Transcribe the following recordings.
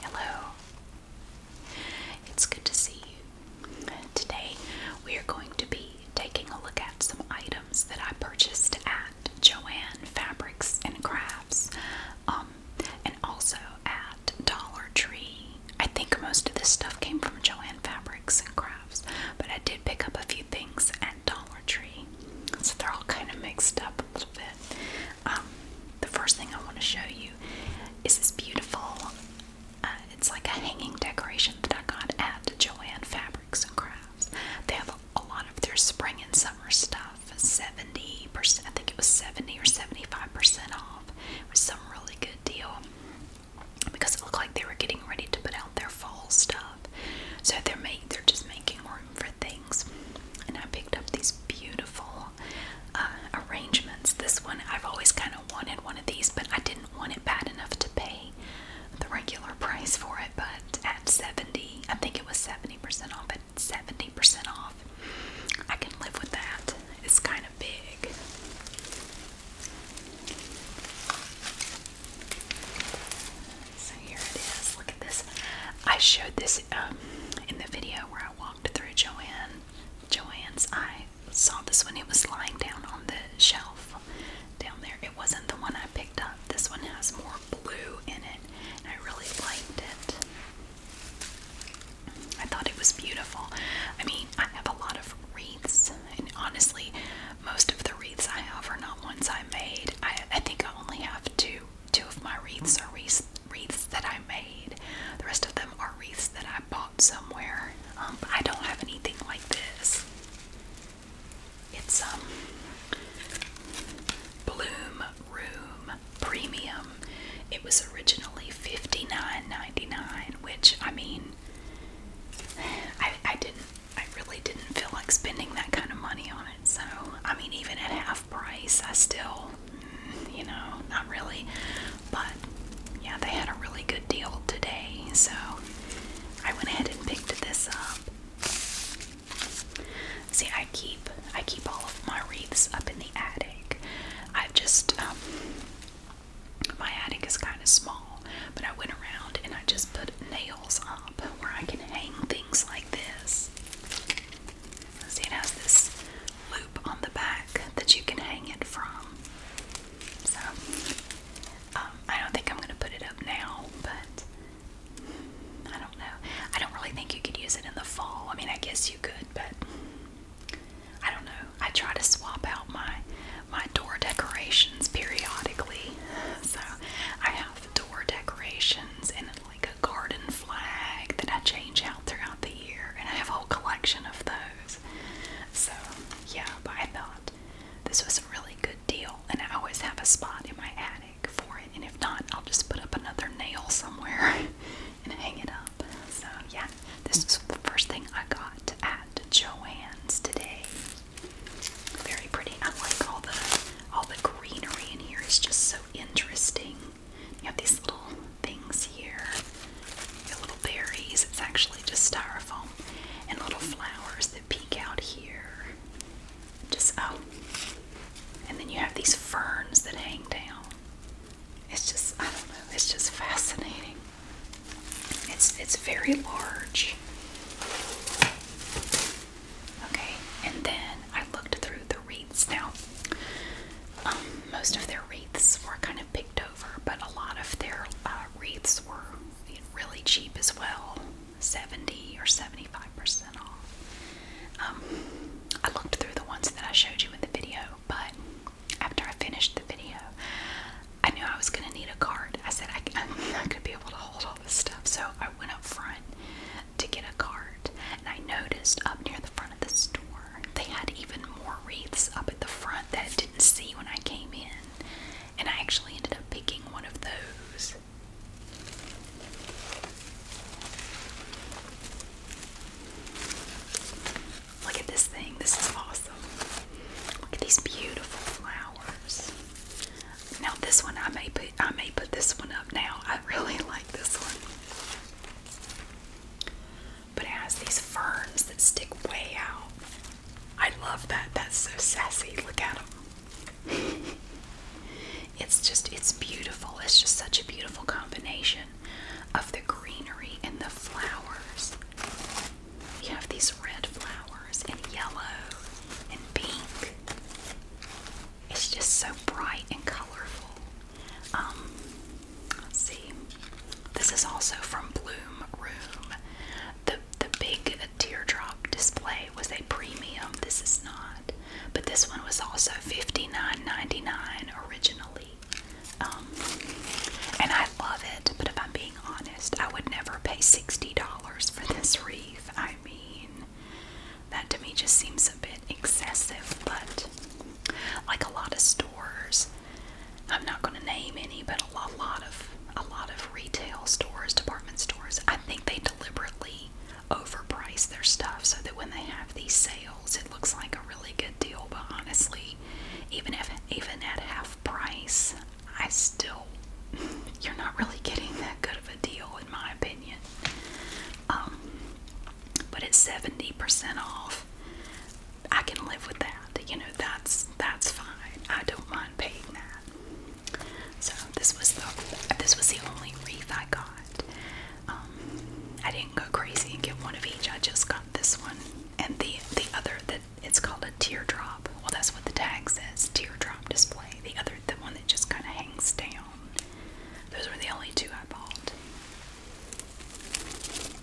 Hello. It's good to see you. Today we are going to be taking a look at some items that I purchased at Joann Fabrics and Crafts um, and also at Dollar Tree. I think most of this stuff came from Joann Fabrics and Crafts, but I did pick up a few things at Dollar Tree. So they're all kind of mixed up a little bit. Um, the first thing I want to show you is this beautiful, uh, it's like a hanging decoration that I got at Joanne Fabrics and Crafts. They have a, lot of their spring and summer stuff, 70%, I think it was 70 or 75% off. It was some really good deal because it looked like they were getting ready to put out their fall stuff. So they're make, they're just making more for things. And I picked up these beautiful uh, arrangements. This one, I've always kind of wanted one of these, but I didn't want it bad enough to pay the regular price for it. But at 70, I think it was 70% off, at 70% off, I can live with that. It's kind of big. So here it is. Look at this. I showed this um, in the video where I walked through Joanne's. I saw this one. It was lying down on the shelf down there. It wasn't the one I picked up. This one has more blue in it, and I really liked it. I thought it was beautiful. I mean, I have a lot of wreaths, and honestly, most of the wreaths I have are not ones I made. I think I only have two two of my wreaths are wreaths, that I made. The rest of them are wreaths that I bought somewhere. Um, I don't have anything like this. It's um, Bloom Room Premium. It was originally $59.99, which I mean I I didn't I really didn't feel like spending that kind of money on so, I mean, even at half price, I still, mm, you know, not really. But yeah, they had a really good deal today. So, I went ahead and picked this up. See, I keep I keep all of my wreaths up in the attic. I've just um, my attic is kind of small, but I went around and I just put nails up where I can hang things like this it has this loop on the back that you can hang it from. So, um, I don't think I'm going to put it up now, but I don't know. I don't really think you could use it in the fall. I mean, I guess you could, but I don't know. I try to swap out my my door decorations periodically. So, I have door decorations and like a garden flag that I change out throughout the year, and I have a whole collection of those. So, yeah, but I thought this was a really good deal, and I always have a spot in my attic for it, and if not, I'll just put up another nail somewhere and hang it up. So, yeah, this was the first thing I got at Joann's today. Very pretty. I like all the all the greenery in here is just so interesting. You have these little things here, little berries. It's actually just styrofoam and little flowers that peek out here. Just oh, and then you have these ferns that hang down. It's just I don't know. It's just fascinating. It's it's very large. Okay, and then I looked through the wreaths. Now, um, most of their wreaths were kind of picked over, but a lot of their uh, wreaths were really cheap as well 70 or 75% off. Um, I looked through the ones that I showed you in the video, but after I finished the video, I knew I was going to need a card. I said I, I'm not going to be able to hold all this stuff, so I went up front to get a cart, and I noticed up near the front of the store they had even more wreaths up at the front that I didn't see when I came in, and I actually ended up picking one of those. Look at this thing, this is awesome. Look at these beautiful flowers. Now this one I may put I may put this one up now. I really like this one. But it has these ferns that stick way out. I love that. That's so sassy. Look at them. it's just it's beautiful. It's just such a beautiful combination of the greenery and the flowers. You have these red flowers and yellow and pink. It's just so bright and colorful. Um, let's see. This is also from Bloom Room. The the big teardrop display was a premium. This is not, but this one was also $59.99 originally. Um, and I love it, but if I'm being honest, I would never pay $60 for this wreath. I mean, that to me just seems a bit excessive, but like a lot of stores, I'm not going to name any, but a lot, lot of a lot of retail stores, department stores, I think they deliberately overprice their stuff so that when they have these sales, it looks like a really good deal. But honestly, even if even at half price, I still you're not really getting that good of a deal deal, in my opinion. Um, but it's seventy percent off. I can live with that. You know, that's that's fine. I don't mind paying that. So this was the this was the only wreath I got. Um, I didn't go crazy and get one of each. I just got this one and the the other that it's called a teardrop. Well, that's what the tag says, teardrop display. The other, the one that just kind of hangs down. Those were the only two I bought.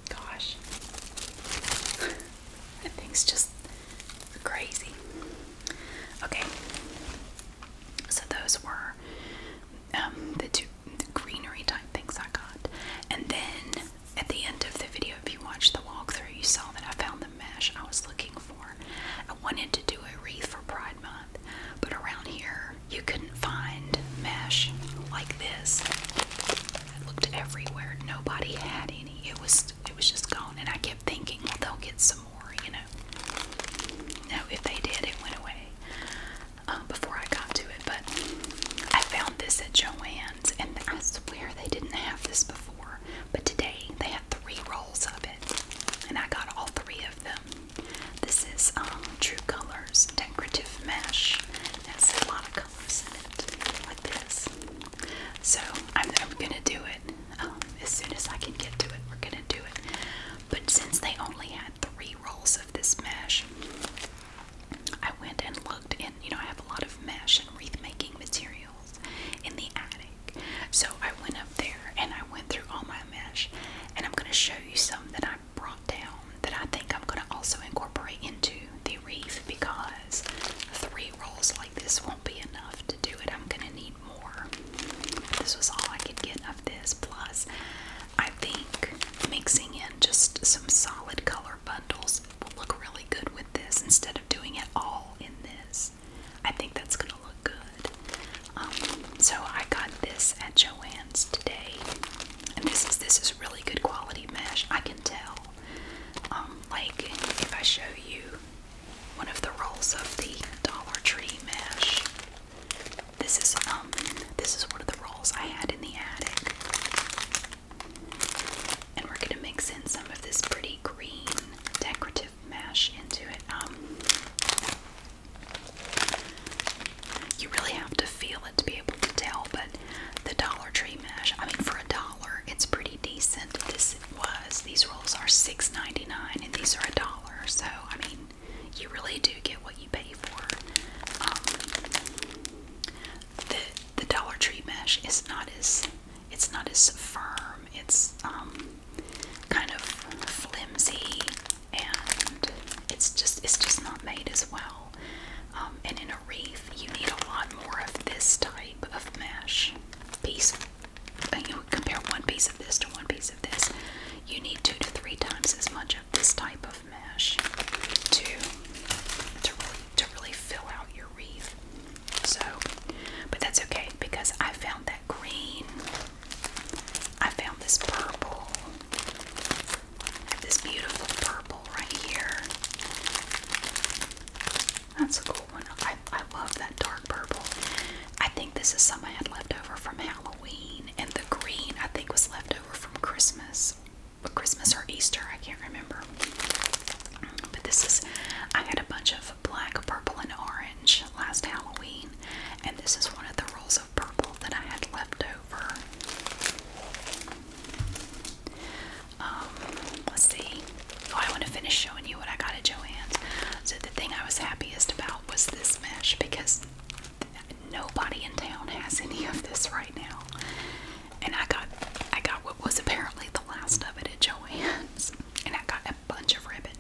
Gosh. that thing's just crazy. Okay. So those were um, the two the greenery type things I got. And then at the end of the video, if you watched the walkthrough, you saw that I found the mesh I was looking for. I wanted to do a wreath for Pride Month. But around here, you couldn't find mesh like this. I looked everywhere. Nobody had any. It was it was just gone. And I kept thinking, they'll get some more, you know. No, if they did, it went away um, before I got to it. But I found this at Joanne's, and I swear they didn't have this before. But today they had three rolls of it, and I got all three of them. This is um, True Colors Decorative Mesh. It has a lot of colors in it, like this. So I'm, gonna do it um, as soon as I can get to it. We're gonna do it. But since they only had three rolls of this mesh, I went and looked, and you know I have a lot of mesh and wreath making materials in the attic. So I went up there and I went through all my mesh, and I'm going to show you some that I brought down that I think I'm going to also incorporate into the reef because three rolls like this won't be enough to do it. I'm going to need more. This was all I could get of this, plus, I think mixing in just some solid color bundles will look really good with this instead of doing it all in this. I think that's gonna look good. Um, so I got this at Joann's today, and this is this is really good quality mesh. I can tell. Um, like if I show you one of the rolls of the Dollar Tree mesh, this is um this is one of the rolls I had in the attic, and we're gonna mix in some of this pretty green decorative to into it. Um, you really have to feel it to be able to tell, but the Dollar Tree mash, I mean, for a dollar, it's pretty decent. This was, these rolls are $6.99 and these are a dollar, so I mean, you really do get what you pay for. Um, the the Dollar Tree mesh is not as it's not as firm. It's um kind of flimsy and it's just it's just not made as well. Um, and in a wreath, you need a lot more of this type of mesh piece. And you would compare one piece of this to one piece of this. You need two to three times as much of this type of mesh to to really to really fill out your wreath. So, but that's okay because I found that green I found this purple. I have this beautiful purple right here. That's a cool one. I, I love that dark purple. I think this is some I had left over from Halloween, and the green I think was left over from Christmas. But Christmas or Easter, I can't remember. But this is, I had a bunch of black, purple, and orange last Halloween, and this is one of the rolls of purple that I had left over. Um, let's see. Oh, I want to finish showing you what I got at Joann's. So the thing I was happiest about was this mesh because nobody in town has any of this right now. And I got I got what was apparently the last of it at Joanne's, And I got a bunch of ribbon.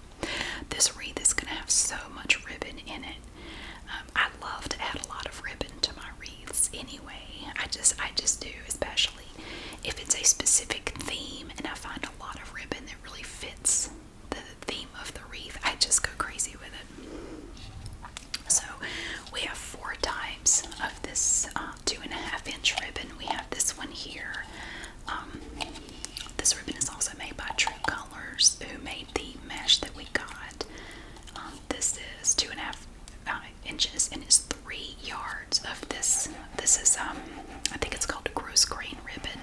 This wreath is going to have so much ribbon in it. Um, I love to add a lot of ribbon to my wreaths anyway. I just I just do, especially if it's a specific theme and I find a lot of ribbon that really fits the theme of the wreath. I just go crazy with it. So we have four types of this uh, two and a half inch ribbon. We have this one here. Um, this ribbon is also made by True Colors, who made the mesh that we got. Um, this is two and a half uh, inches, and it's three yards of this. This is, um, I think it's called gross grain ribbon.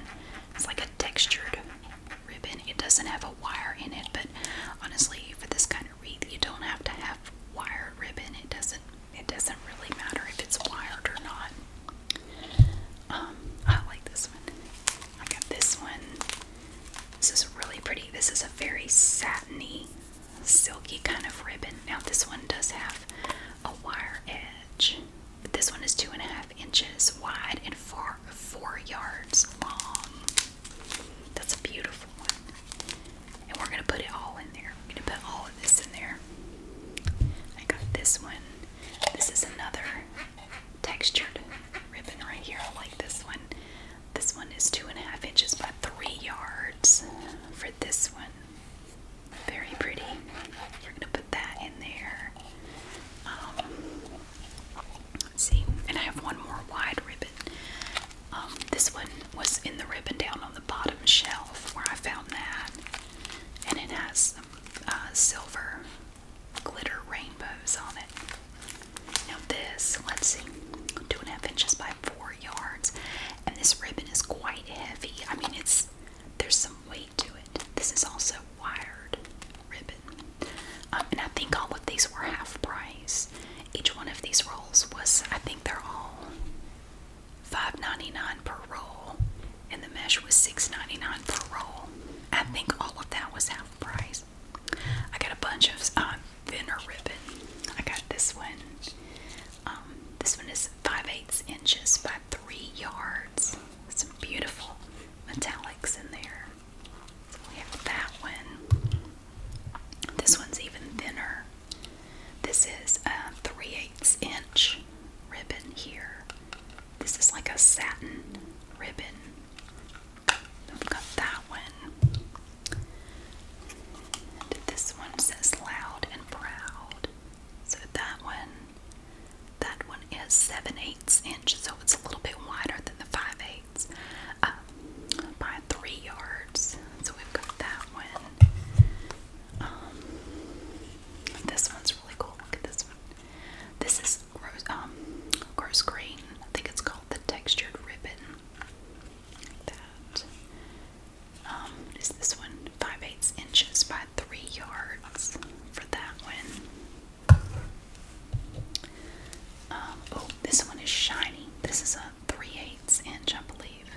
It's like a textured ribbon. It doesn't have a wire in it, but honestly, for this kind of wreath, you don't have to have wire ribbon. It doesn't. It doesn't really matter if it's wired or not. Um, I like this one. I got this one. This is really pretty. This is a very satiny, silky kind of ribbon. Now, this one does have a wire edge, this one is two and a half inches wide and four, four yards long. That's a beautiful one. And we're going to put it all in there. We're going to put all of this in there. I got this one. This is another textured ribbon right here. I like this one. This one is two and a half inches by three yards for this one. Very pretty. We're gonna put that in there. Um, let's see, and I have one more wide ribbon. Um, this one was in the ribbon down on the bottom shelf where I found that, and it has uh, silver glitter rainbows on it. Now this, let's see, two and a half inches by four yards, and this ribbon is quite heavy. I mean, it's there's some weight to it. This is also wired ribbon, um, and I think all of these were half price. Each one of these rolls was, I think they're all Five ninety nine per roll, and the mesh was 6 per roll. I think all of that was half price. I got a bunch of um, thinner ribbon. I got this one. Um, this one is 5 eighths inches by 3 yards. Some beautiful metallics in there. we have that one. This one's even thinner. This is a 3 eighths inch ribbon here. This is like a satin ribbon. I've got that one. this one says loud and proud. So that one, that one is 7 eighths inch, so it's a little bit wider than the 5 eighths uh, by 3 yards. So we've got that one. Um, this one's really cool. Look at this one. This is rose, um, green. I think it's called the textured ribbon. Like um, this one? 5 eighths inches by 3 yards for that one. oh, this one is shiny. This is a 3 eighths inch, I believe,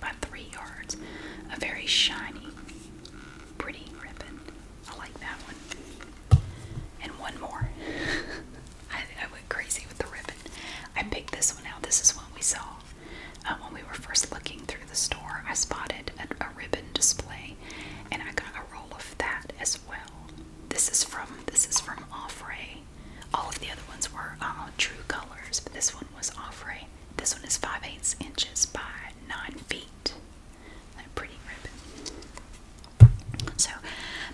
by 3 yards. A very shiny pretty ribbon. I like that one. And one more. I, I went crazy with the ribbon. I picked this one out. This is one we saw uh, when we were first looking through the store. I spotted a, ribbon display, and I got a roll of that as well. This is from this is from Offray. All of the other ones were uh, True Colors, but this one was Offray. This one is five eighths inches by nine feet great. pretty ribbon. So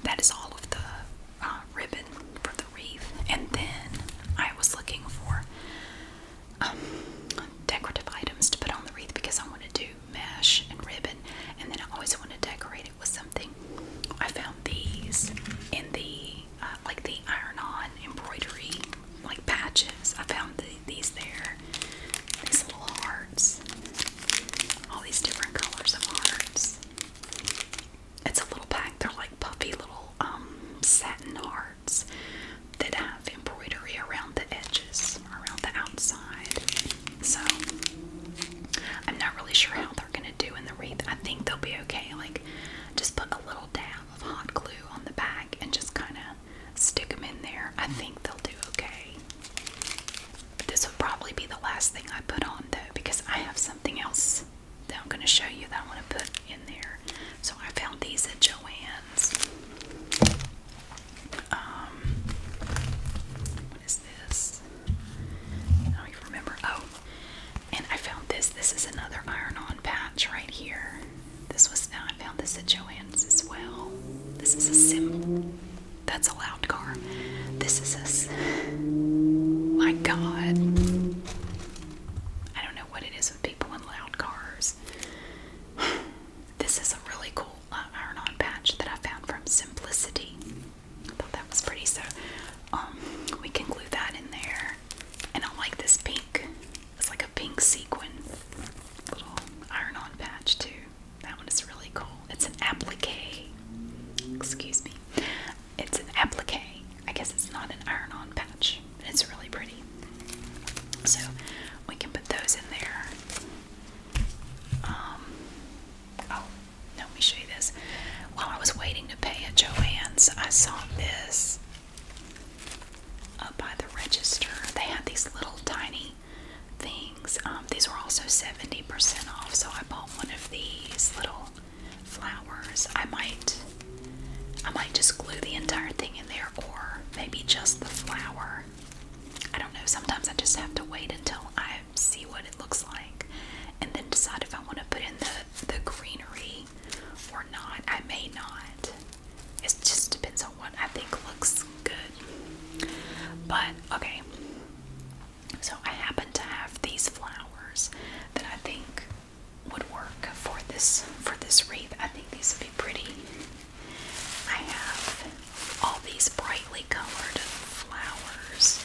that is all of the uh, ribbon for the wreath. And then I was looking for um, decorative items to put on the wreath because I want to do mesh and ribbon. And then I always want to decorate it with something. I found these in the uh, like the iron-on embroidery like patches. I found these there. These little hearts. All these different colors of hearts. It's a little pack. They're like puffy little um, satin hearts that have embroidery around the edges, around the outside. So I'm not really sure how they're gonna do in the wreath. I think they'll be okay. Like just put a little dab of hot glue on the back and just kind of stick them in there. I think they'll do okay. But this will probably be the last thing I put on though because I have something else that I'm going to show you that I want to put in there. So I found these at Joann's. Um, what is this? I don't even remember. Oh, and I found this. This is another iron on patch right here. This was now I found this at Joanne's as well. This is a sim. That's a loud car. This is a. My God. I don't know what it is with people in loud cars. This is a really cool uh, iron-on patch that I found from Simplicity. I thought that was pretty. So, um, we can glue that in there. And I like this pink it's like a pink sequin little iron-on patch too. That one is really cool. It's an applique. Excuse me. It's an applique. I guess it's not an iron-on patch. It's really pretty. So we can put those in there. Um, oh, let me show you this. While I was waiting to pay at Joann's, I saw this up by the register. They had these little tiny things. Um, these were also 70% off, so I bought one of these little flowers. I might I might just glue the entire thing in there or maybe just the flower. I don't know. Sometimes I just have to wait until I see what it looks like and then decide if I want to put in the the greenery or not. I may not. It just depends on what I think looks good. But okay, so I happen to have these flowers that I think would work for this for this wreath. I think these would be pretty. I have all these brightly colored flowers.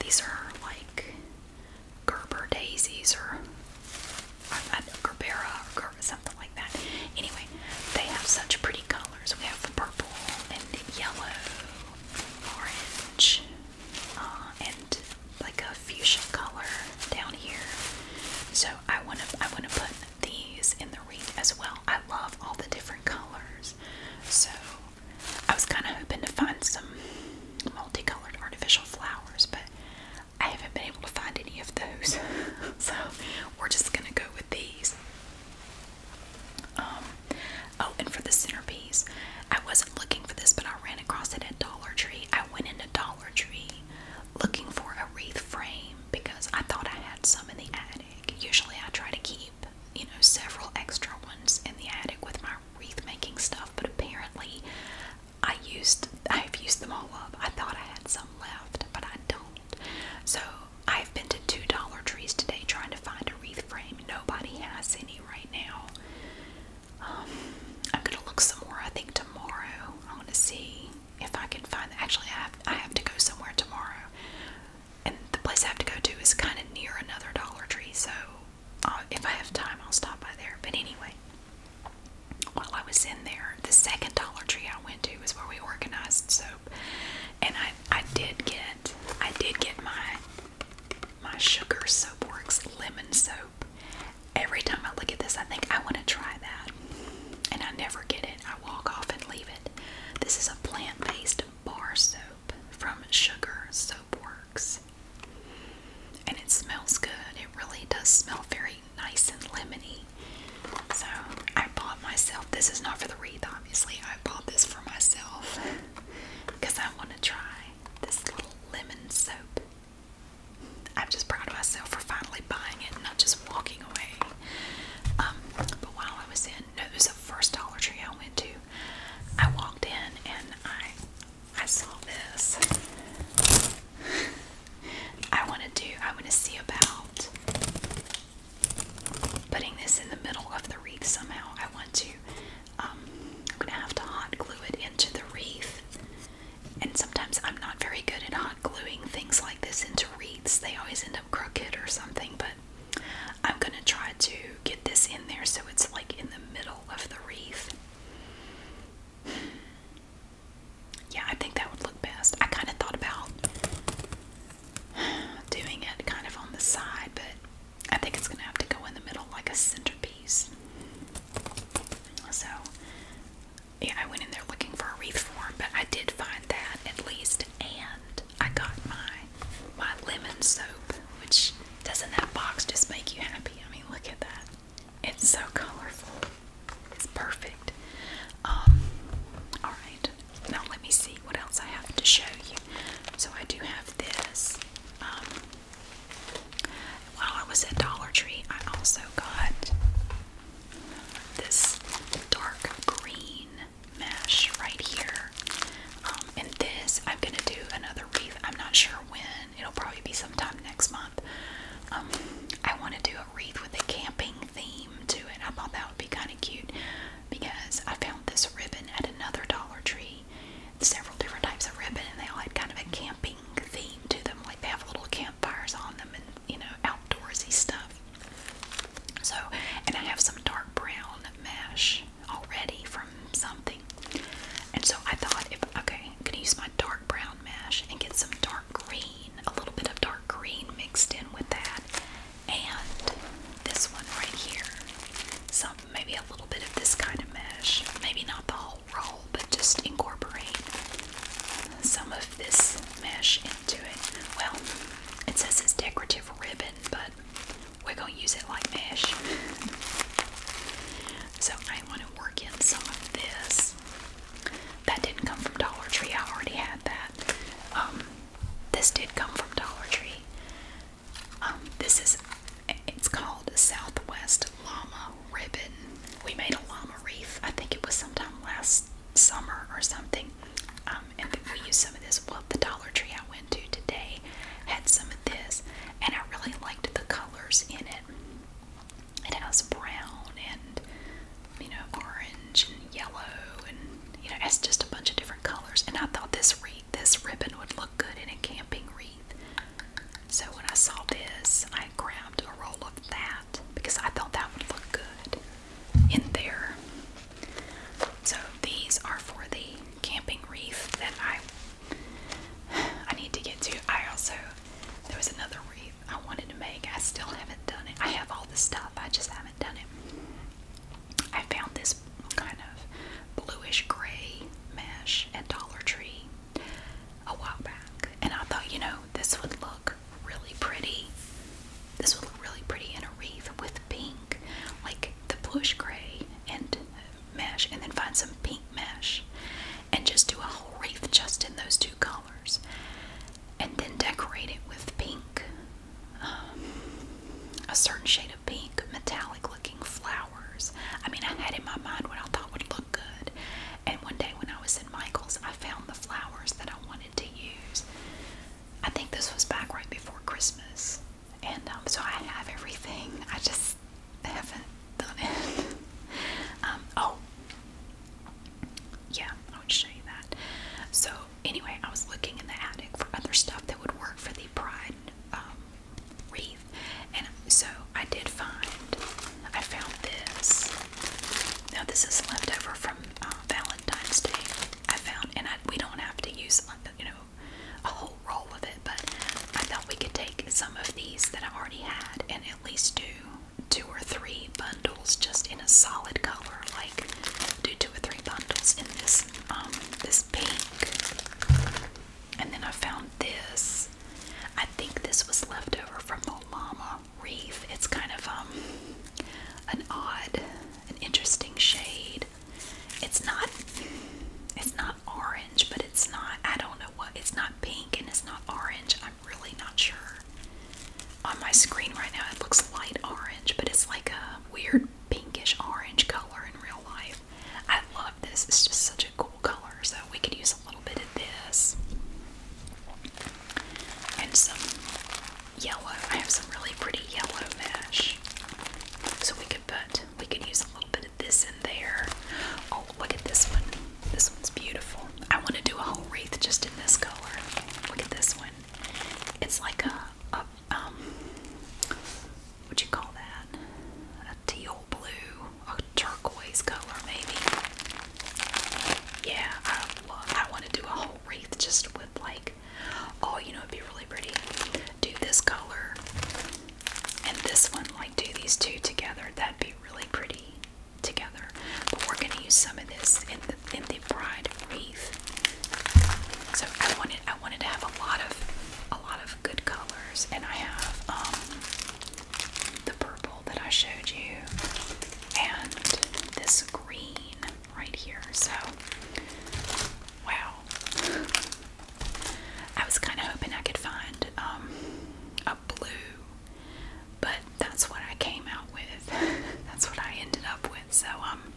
These are like Gerber daisies or I Gerbera or something like that. Anyway, they have such pretty colors. We have purple and yellow, orange, uh, and like a fuchsia color down here. So I want to I want to put these in the wreath as well. I love all the different colors. So I was kind of hoping to find some multicolored artificial flowers, but I haven't been able to find any of those, so we're just gonna go with these. Um, oh, and for the centerpiece, I wasn't looking for this, but I ran across it at Dollar Tree. I went into Dollar Tree looking for a wreath frame because I thought I had some in the attic. Usually, I try to keep you know several extra ones in the attic with my wreath making stuff, but apparently, I used I've used them all up. I thought I had some left, but I don't. So I've been to two Dollar Trees today trying to find a wreath frame. Nobody has any right now. Um, I'm gonna look somewhere. I think tomorrow I want to see if I can find. Actually, I have, I have to go somewhere tomorrow, and the place I have to go to is kind of near another Dollar Tree. So uh, if I have time, I'll stop by there. But anyway, while I was in there, the second Dollar Tree I went to was where we organized soap, and I I did get I did get my my Sugar Soapworks lemon soap. Every time I look at this, I think I want to try that, and I never get it. I walk off and leave it. This is a plant-based bar soap from Sugar Soapworks, and it smells good. It really does smell very nice and lemony. So I bought myself this is not for the wreath, obviously. I bought this for myself because I want to try this little lemon soap. I'm just proud of myself for finally buying it, and not just walking away. Um, but while I was in, no, it was the first Dollar Tree I went to. I walked in and I I saw this. I want to do, i want to see about putting this in the middle of the wreath somehow. I want to, um, I'm going to have to hot glue it into the wreath. And sometimes I'm not very good at hot gluing things like this into wreaths. They always end up crooked or something, but I'm going to try to get this in there so it's like in the middle of the wreath yeah, I think that would look best. I kind of thought about doing it kind of on the side, but I think it's going to have to go in the middle like a centerpiece. So, yeah, I went in there looking for a wreath form, but I did find that at least, and I got my my lemon soap, which doesn't that box just make you happy? I mean, look at that. It's so colorful. It's perfect. Um, alright, now let me see what else I have to show you. So I do have this. Um, while I was at Dollar Tree, I also got this dark green mesh right here. Um, and this, I'm going to do another wreath. I'm not sure when. It'll probably be sometime next month. Um, I want to do a wreath with a camping theme to it. I thought that would be kind of cute because I found this ribbon at another Dollar Tree. Several different types of ribbon, and they all had kind of a camping theme to them. Like they have little campfires on them, and you know, outdoorsy stuff. So, and I have some dark brown mesh already from something. And so I thought, if okay, I'm gonna use my dark brown mesh and get some dark green, a little bit of dark green mixed in with that. And this one right here. Some maybe a little bit of this kind of mesh. Maybe not the whole roll, but just incorporate some of this mesh into it. Well, it says it's decorative ribbon, but we're gonna use it like mesh. so I want to work in some of this that didn't come from Dollar Tree. I already had that. Um, this did come from Dollar Tree. Um, this is, it's called Southwest Llama Ribbon. We made a llama wreath. I think it was sometime last summer or something. Um, and we used some of this. Well, the Dollar Tree I went to today had some of this. And I really liked the colors in it. It has brown and you know orange and yellow and you know it's just a bunch of different colors. And I thought this wreath, this ribbon would look good in a camping wreath. So when I saw this, I grabbed a roll of that because I thought that would look good in there. So these are for the camping wreath that I I need to get to. I also there was another wreath I wanted to make. I still haven't done it. I have all the stuff, I just haven't done it. I found this kind of bluish gray mesh at Dollar Tree a while back, and I thought, you know, this would look really pretty. This would look really pretty in a wreath with pink, like the bluish gray and mesh, and then find some pink mesh and just do a whole wreath just in those two colors and then decorate it with pink, um, a certain shade of pink, metallic looking flowers. I mean, I had in my mind what I thought would look good. And one day when I was in Michael's, I found the flowers that I wanted to use. I think this was back right before Christmas. And um, so I have everything. I just haven't done it. Um, oh, yeah, I would show you that. So anyway, I was looking in the attic for other stuff that would work for the pride um, wreath, and so I did find. I found this. Now this is leftover from uh, Valentine's Day. I found, and I, we don't have to use uh, you know a whole roll of it, but I thought we could take some of these that I already had and at least do two or three bundles just in a solid color. Like do two or three bundles in this um, this pink. And then I found this. I think this was left over from the llama reef. It's kind of um an odd, an interesting shade. It's not it's not orange, but it's not I don't know what it's not pink and it's not orange. I'm really not sure. On my screen right now, it looks light orange, but it's like a weird pinkish orange color in real life. I love this, it's just such a cool color, so we could use a little bit of this. And some yellow. I have some really pretty yellow mesh. So we could put, we could use a little bit of this in there. Oh, look at this one. This one's beautiful. I want to do a whole wreath just in this color. Look at this one. It's like a, a um, what you call that? A teal blue, a turquoise color maybe. Yeah, I want to do a whole wreath just with like, oh, you know, it'd be really pretty. Do this color and this one, like do these two together. That'd be really pretty together. But we're gonna use some of this in the in the bride wreath. So I wanted I wanted to have a lot of a lot of good colors, and I have um, the purple that I showed you, and this green right here. So wow. I was kind of hoping I could find um, not blue, but that's what I came out with. that's what I ended up with. So um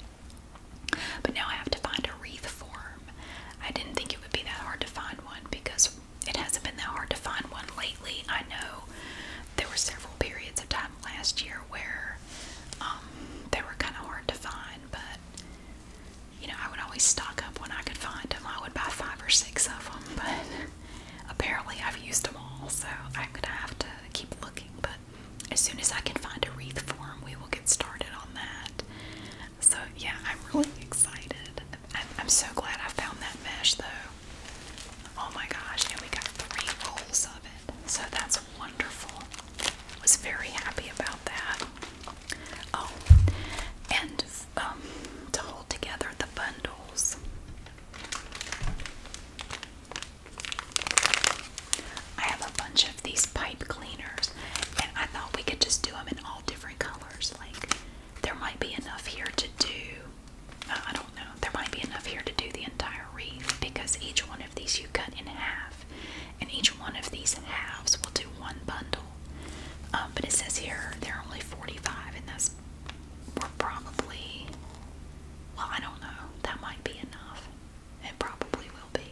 but now I have to find a wreath form. I didn't think it would be that hard to find one because it hasn't been that hard to find one lately. I know there were several periods of time last year where um, they were kind of hard to find, but you know, I would always stock up when I could find them. I would buy five or six of them, but Apparently, I've used them all, so I'm gonna have to keep looking. But as soon as I can find a wreath for them, we will get started on that. So, yeah, I'm really excited. I'm, so glad I found that mesh, though. Oh my gosh, and we got three rolls of it, so that's wonderful. Was very happy about that. Oh, and um, together the bundles. I have a bunch of these pipe cleaners, and I thought we could just do them in all different colors. Like, there might be enough here to do, uh, I don't know, there might be enough here to do the entire reef because each one of these you cut in half, and each one of these halves will do one bundle. Um, but it says here they're only 45, and that's we're probably, well, I don't know, that might be enough. It probably will be.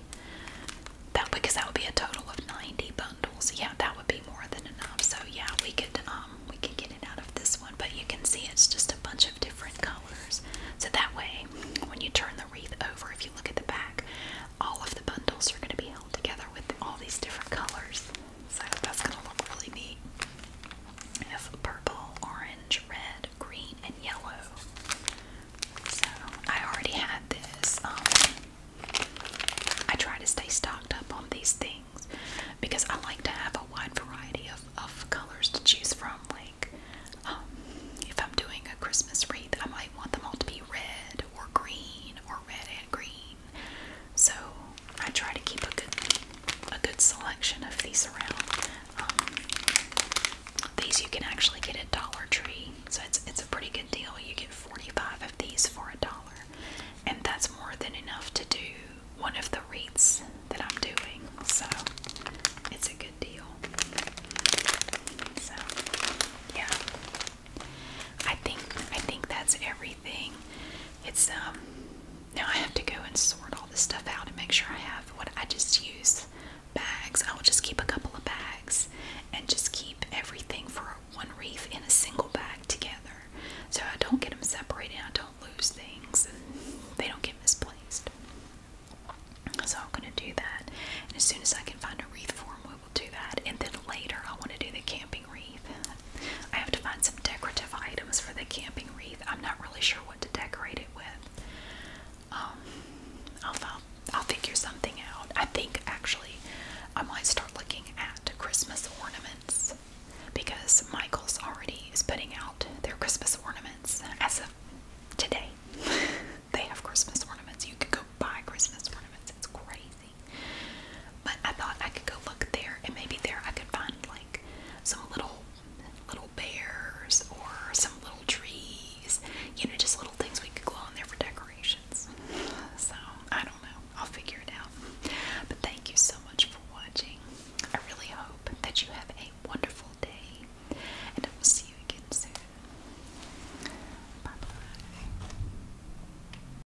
That because that would be a total of 90 bundles. Yeah, that would be more than enough. So yeah, we could um, we could get it out of this one, but you can see it's just a bunch of different colors. So that way, when you turn the wreath over, if you look at the back, all of the bundles are going to be held together with all these different colors. So that's gonna look really neat. It's purple, orange, red, green, and yellow. So I already had this. Um, I try to stay stocked up on these things because I like to have a wide variety of, of colors to choose from. Like, um, if I'm doing a Christmas wreath, I might want them all to be red or green or red and green. So I try to keep a good, a good selection of these around. Um, these you can actually get at Dollar Tree, so it's it's a pretty good deal. You get 45 of these for a dollar, and that's more than enough to do one of the reads that I'm doing. So it's a good deal. So yeah, I think I think that's everything. It's um now I have to go and sort all this stuff out and make sure I have what I just use bags. I'll just keep a couple of bags and just keep everything for one wreath in a single bag together. So I don't get them separated, I don't lose things and they don't get misplaced. So I'm gonna do that. And as soon as I can find a wreath form we will do that. And then later I want to do the camping wreath. I have to find some decorative items for the camping wreath. I'm not really sure what to decorate it with. Um, I'll, figure something out. I think actually I might start looking at Christmas ornaments because Michael's already is putting out their Christmas ornaments as of today. they have Christmas ornaments. You can go buy Christmas ornaments. It's crazy. But I thought I could go look there, and maybe there I could find like some little little bears or some little trees. You know, just little things we could go on there for decorations. So I don't know. I'll figure it out. But thank you so much for watching. I really hope that you have a wonderful day, and I will see you again soon. Bye bye.